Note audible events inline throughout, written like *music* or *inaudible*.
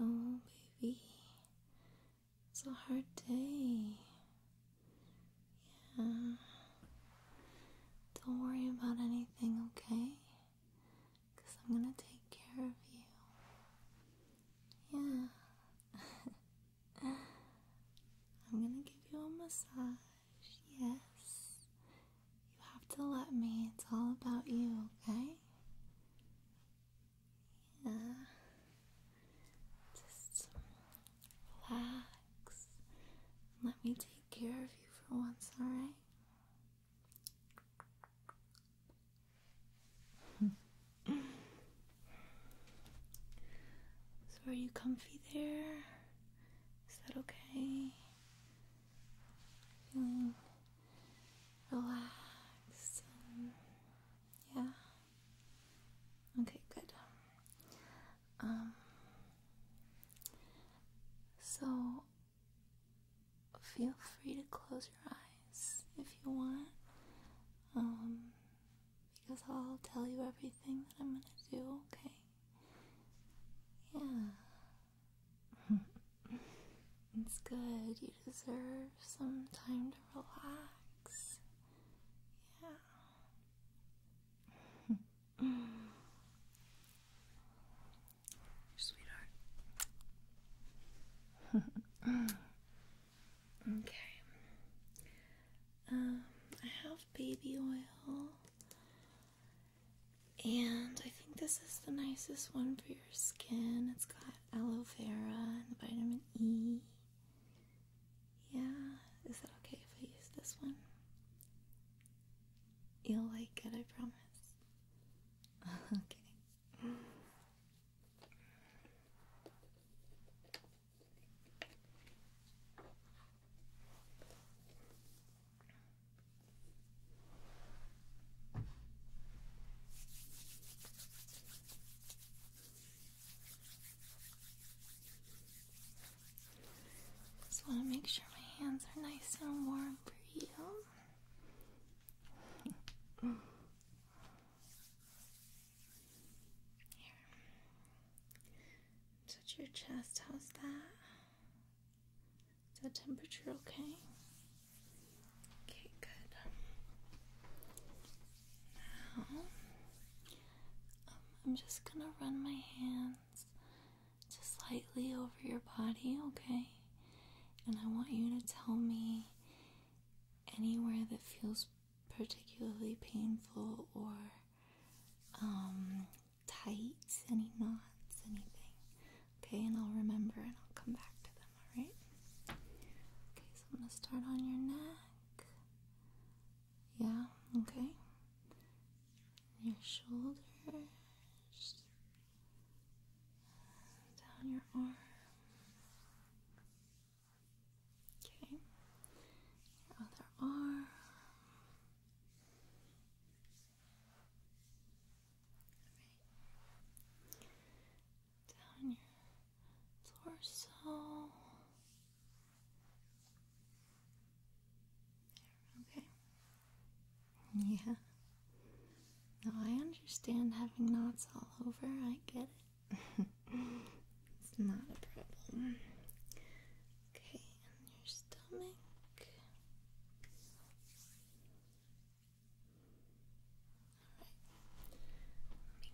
I know, baby. It's a hard day. Yeah. Don't worry about anything, okay? Because I'm gonna take care of you. Yeah. *laughs* I'm gonna give you a massage. Yes. You have to let me. It's all about you, okay? Yeah. Just relax. Let me take care of you for once, alright? *laughs* so, are you comfy there? Is that okay? feeling hmm. relaxed. yeah. Okay, good. Um. So feel free to close your eyes if you want. Um, because I'll tell you everything that I'm gonna do, okay? Yeah. *laughs* it's good. You deserve some time to relax. Yeah. *laughs* Sweetheart. *laughs* okay. Um, I have baby oil. And I think this is the nicest one for your skin. It's got aloe vera and vitamin E. Yeah, is that okay if I use this one? You'll like it, I promise. *laughs* okay. Just want to make sure my hands are nice and warm for you. Touch your chest, how's that? Is the temperature okay? Okay, good. Now, um, I'm just gonna run my hands just lightly over your body, okay? And I want you to tell me anywhere that feels particularly painful or um, Tights, any knots, anything. Okay, and I'll remember and I'll come back to them, alright? Okay, so I'm gonna start on your neck. Yeah, okay. Your shoulders. Down your arm. Okay. Your other arm. Down your torso. okay. Yeah. No, I understand having knots all over. I get it. *laughs* it's not a problem. Okay, and your stomach.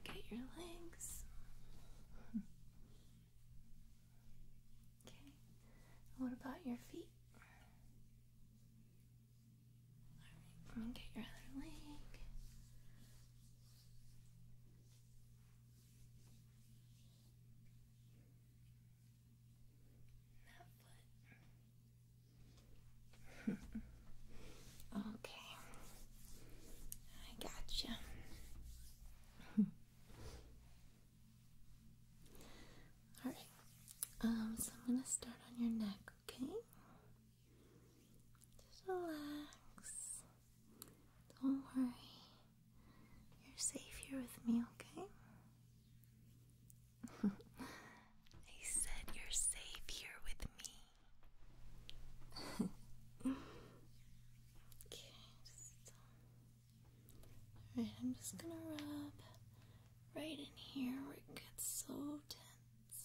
Let me get your legs. Okay. What about your feet? let me get your other leg okay. *laughs* I gotcha. *laughs* Alright. Um, so I'm gonna start on your neck, okay? Just relax. Don't worry. You're safe here with me, okay? I *laughs* said you're safe here with me. *laughs* okay, um, Alright, I'm just gonna rub right in here where it gets so tense.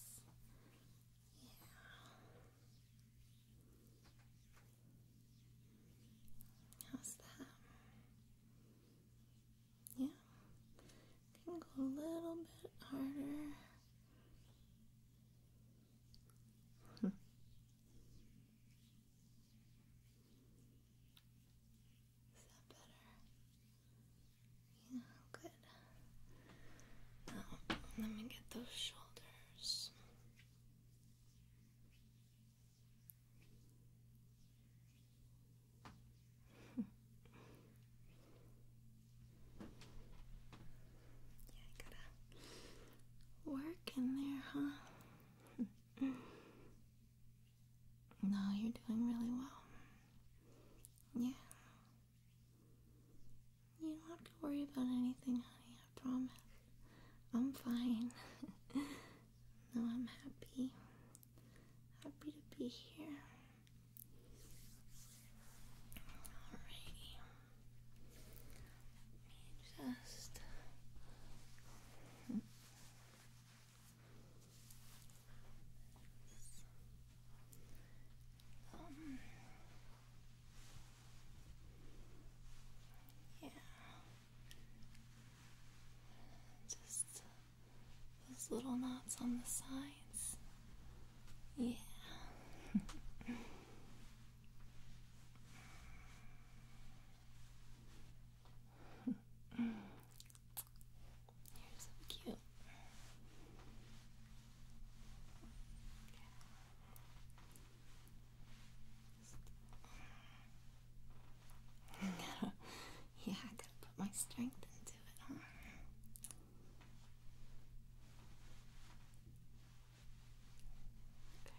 How's that? Yeah. Can go a little bit harder. Is that better? Yeah, good. Now, um, let me get those shoulders yeah, gotta work in there, huh? *laughs* no, you're doing really well. Yeah. You don't have to worry about anything, honey, I promise. I'm fine. *laughs* no, I'm happy. Happy to be here. Alrighty. just. Um, yeah. Just those little knots on the sides. Yeah. *laughs* You're so cute. *laughs* yeah, gotta put my strength into it. Huh? That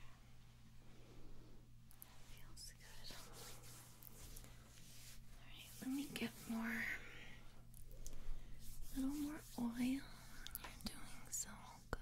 feels good. Alright, let me get more a little more oil. You're doing so good.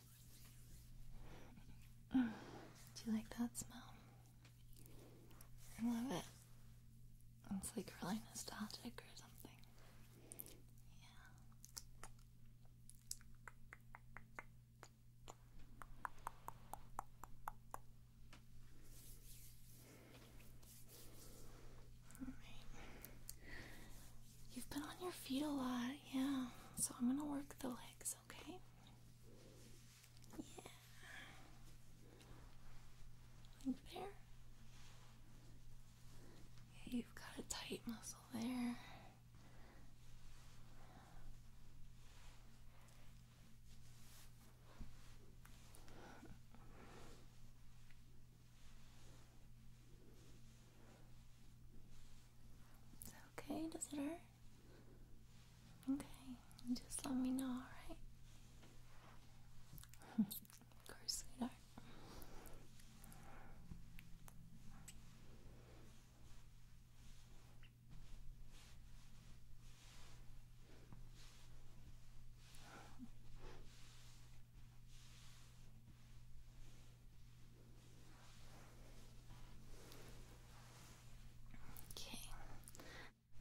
Do you like that smell? I love it. It's like really nostalgic or something. Yeah. All right. You've been on your feet a lot, yeah. So I'm gonna work the legs, okay? Yeah. there. you've got a tight muscle there. It's okay, does it hurt? Okay, just let me know, alright? *laughs* of course, sweetheart. Okay.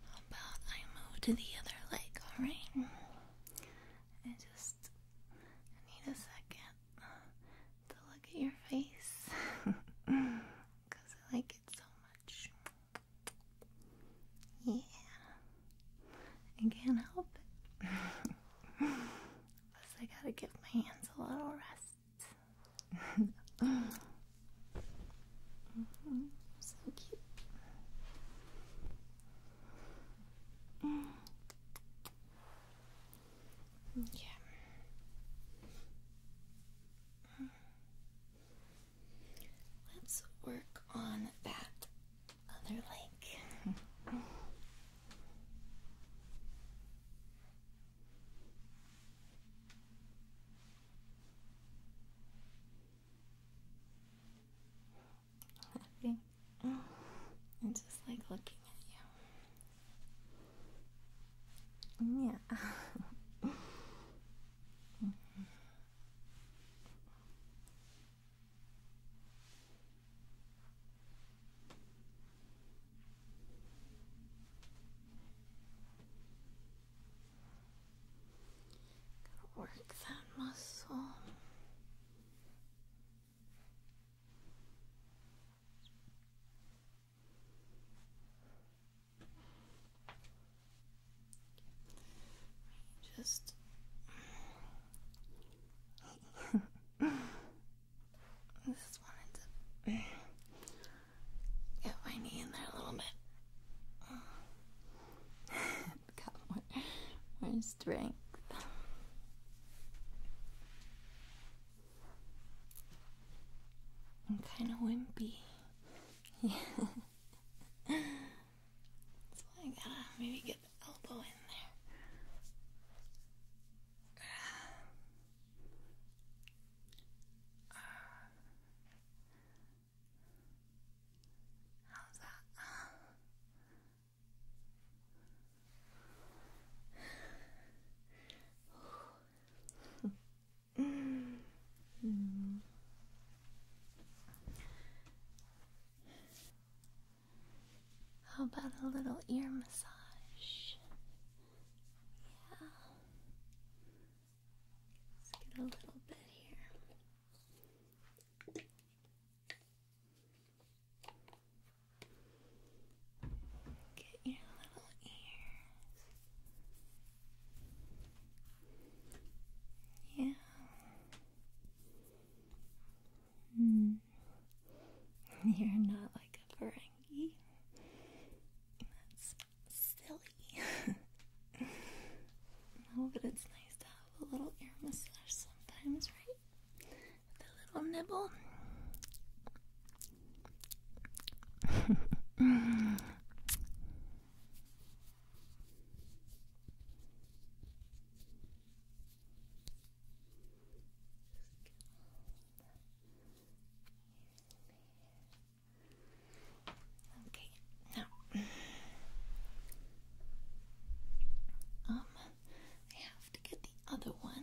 How about I move to the other leg, alright? I just need a second to look at your face because *laughs* I like it so much. Yeah. I can't help it. *laughs* Plus, I gotta give my hands a little rest mm -hmm. So cute. Yeah. Let's work on that other leg. *laughs* Happy. I just like looking at you. Yeah. *laughs* work that muscle. Just I just wanted to get my knee in there a little bit. *laughs* Got more, more strength. I'm kind of wimpy. Yeah. *laughs* I gotta maybe get elbow in there. How's that? mm. How about a little ear massage? Yeah. get a little bit here. Get your little ears. Yeah. Hmm. *laughs* You're not like a beret. That's silly. *laughs* no, but it's nice to have a little ear massage sometimes, right? With a little nibble. *laughs* *laughs* Okay, now um, I have to get the other one.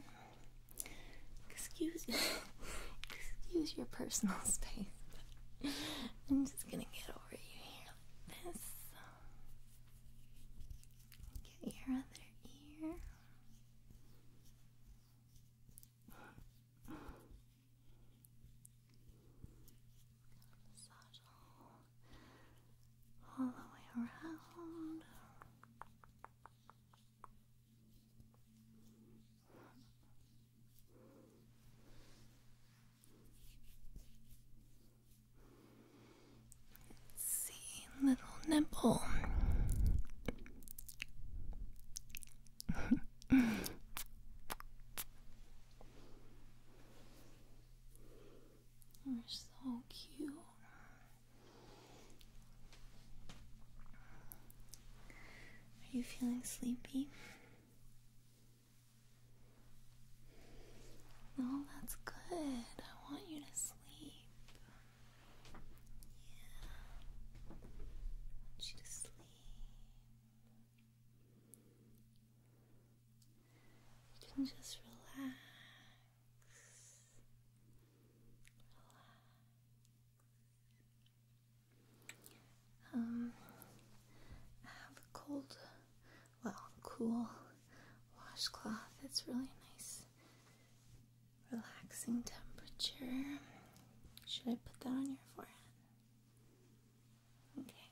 Excuse, excuse your personal *laughs* space. I'm just gonna get over you here like this. Get your other ear. Massage all, the way around. It's little nipple. *laughs* You're so cute. Are you feeling sleepy? No, that's good. I want you to sleep. I want you to sleep. can just relax. Relax. Um, I have a cold, well, cool washcloth. It's really nice relaxing temperature. Should I put that on your forehead? Okay.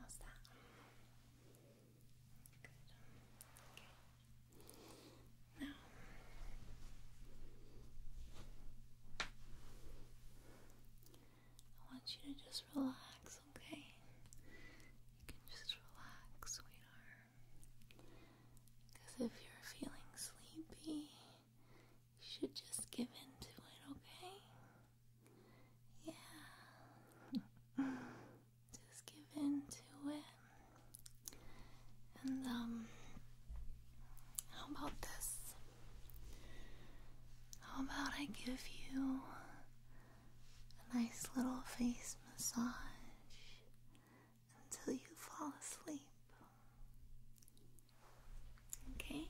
How's that? Good. Okay. Now. I want you to just relax, okay? You can just relax, sweetheart. Because if you're feeling sleepy, you should just give in to it, okay? Yeah. *laughs* just give in to it. And, um, how about this? How about I give you a nice little face massage until you fall asleep? Okay?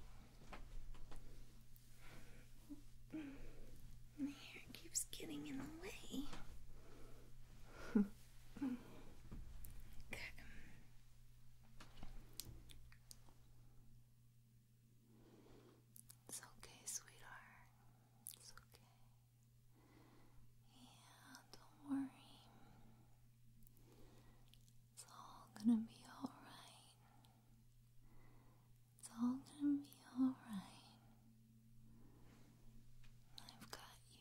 My hair keeps getting in the way. *laughs* Um, it's okay, sweetheart. It's okay. Yeah, don't worry. It's all gonna be alright. It's all gonna be alright. I've got you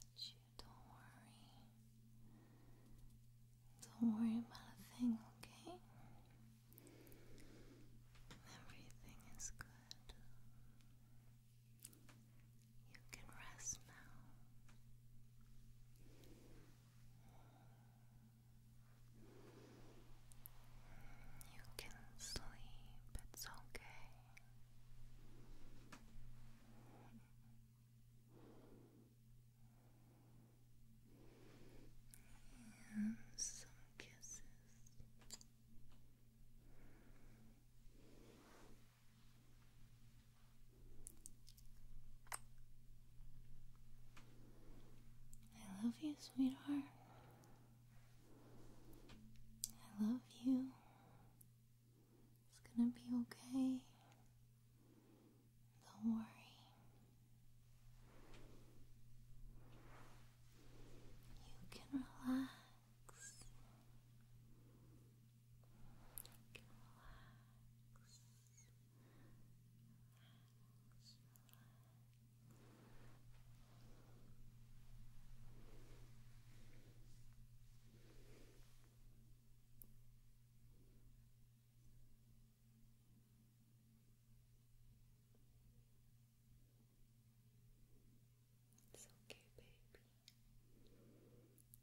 got you. Don't worry. Don't worry about a thing, okay? Everything is good. You can rest now. You can sleep, it's okay. And some kisses. I love you, sweetheart. I love you. It's gonna be okay. Don't worry. You can relax. You can relax. It's okay, baby. Relax.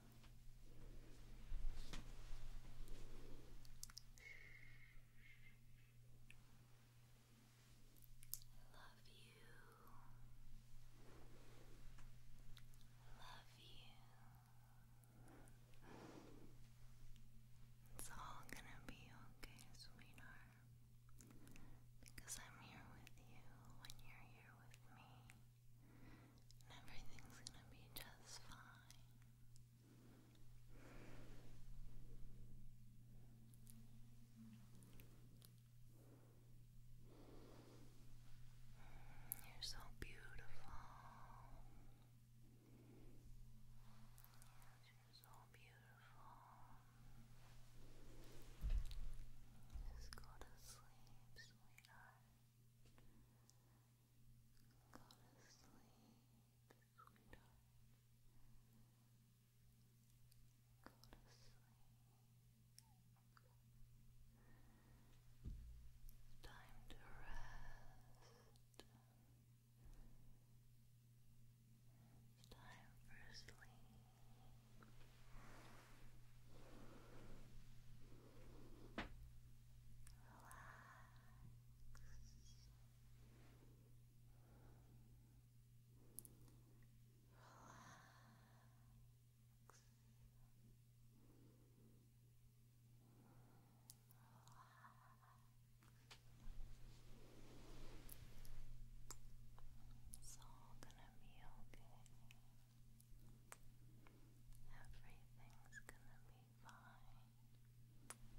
Love you. Love you. It's all gonna be okay, sweetheart. Because I'm here with you when you're here with me. And everything's gonna be just fine. You're so beautiful. you're so beautiful. Just go to sleep, sweetheart. Go to sleep, sweetheart. Go to sleep. Time to rest. time for sleep. Relax. It's all gonna be okay. Everything's gonna be fine. Just relax.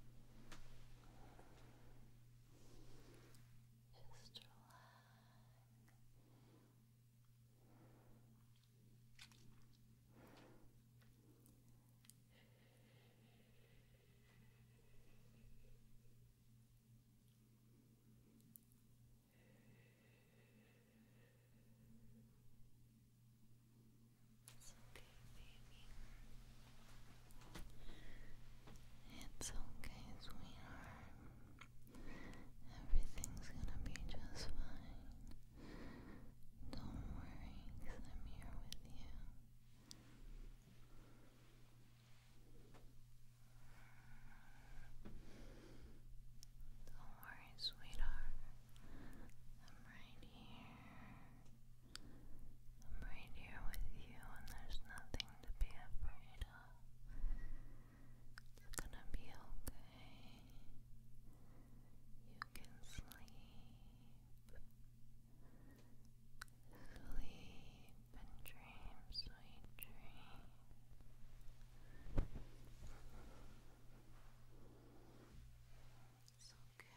It's okay, baby. It's okay, sweetheart. Everything's gonna be just fine. Don't worry, i I'm here with you. Don't worry, sweetheart right here. I'm right here with you, and there's nothing to be afraid of. It's gonna be okay. You can sleep. Sleep and dream, sweet dreams. It's okay. It's okay. I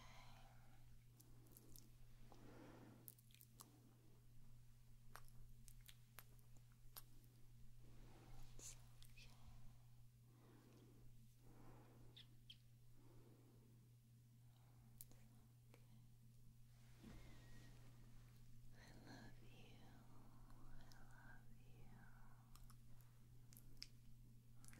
love you. I love you.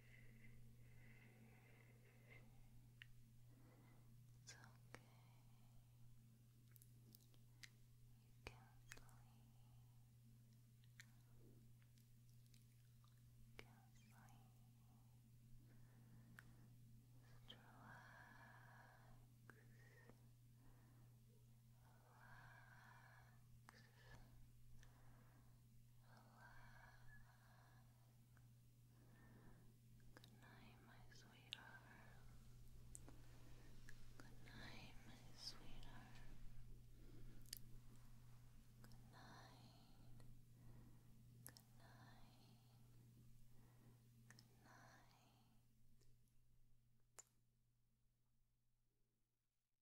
It's okay. You can sleep. You can sleep. Just relax. Relax. Relax. Good night, my sweetheart. Good my sweetheart. Good night. Good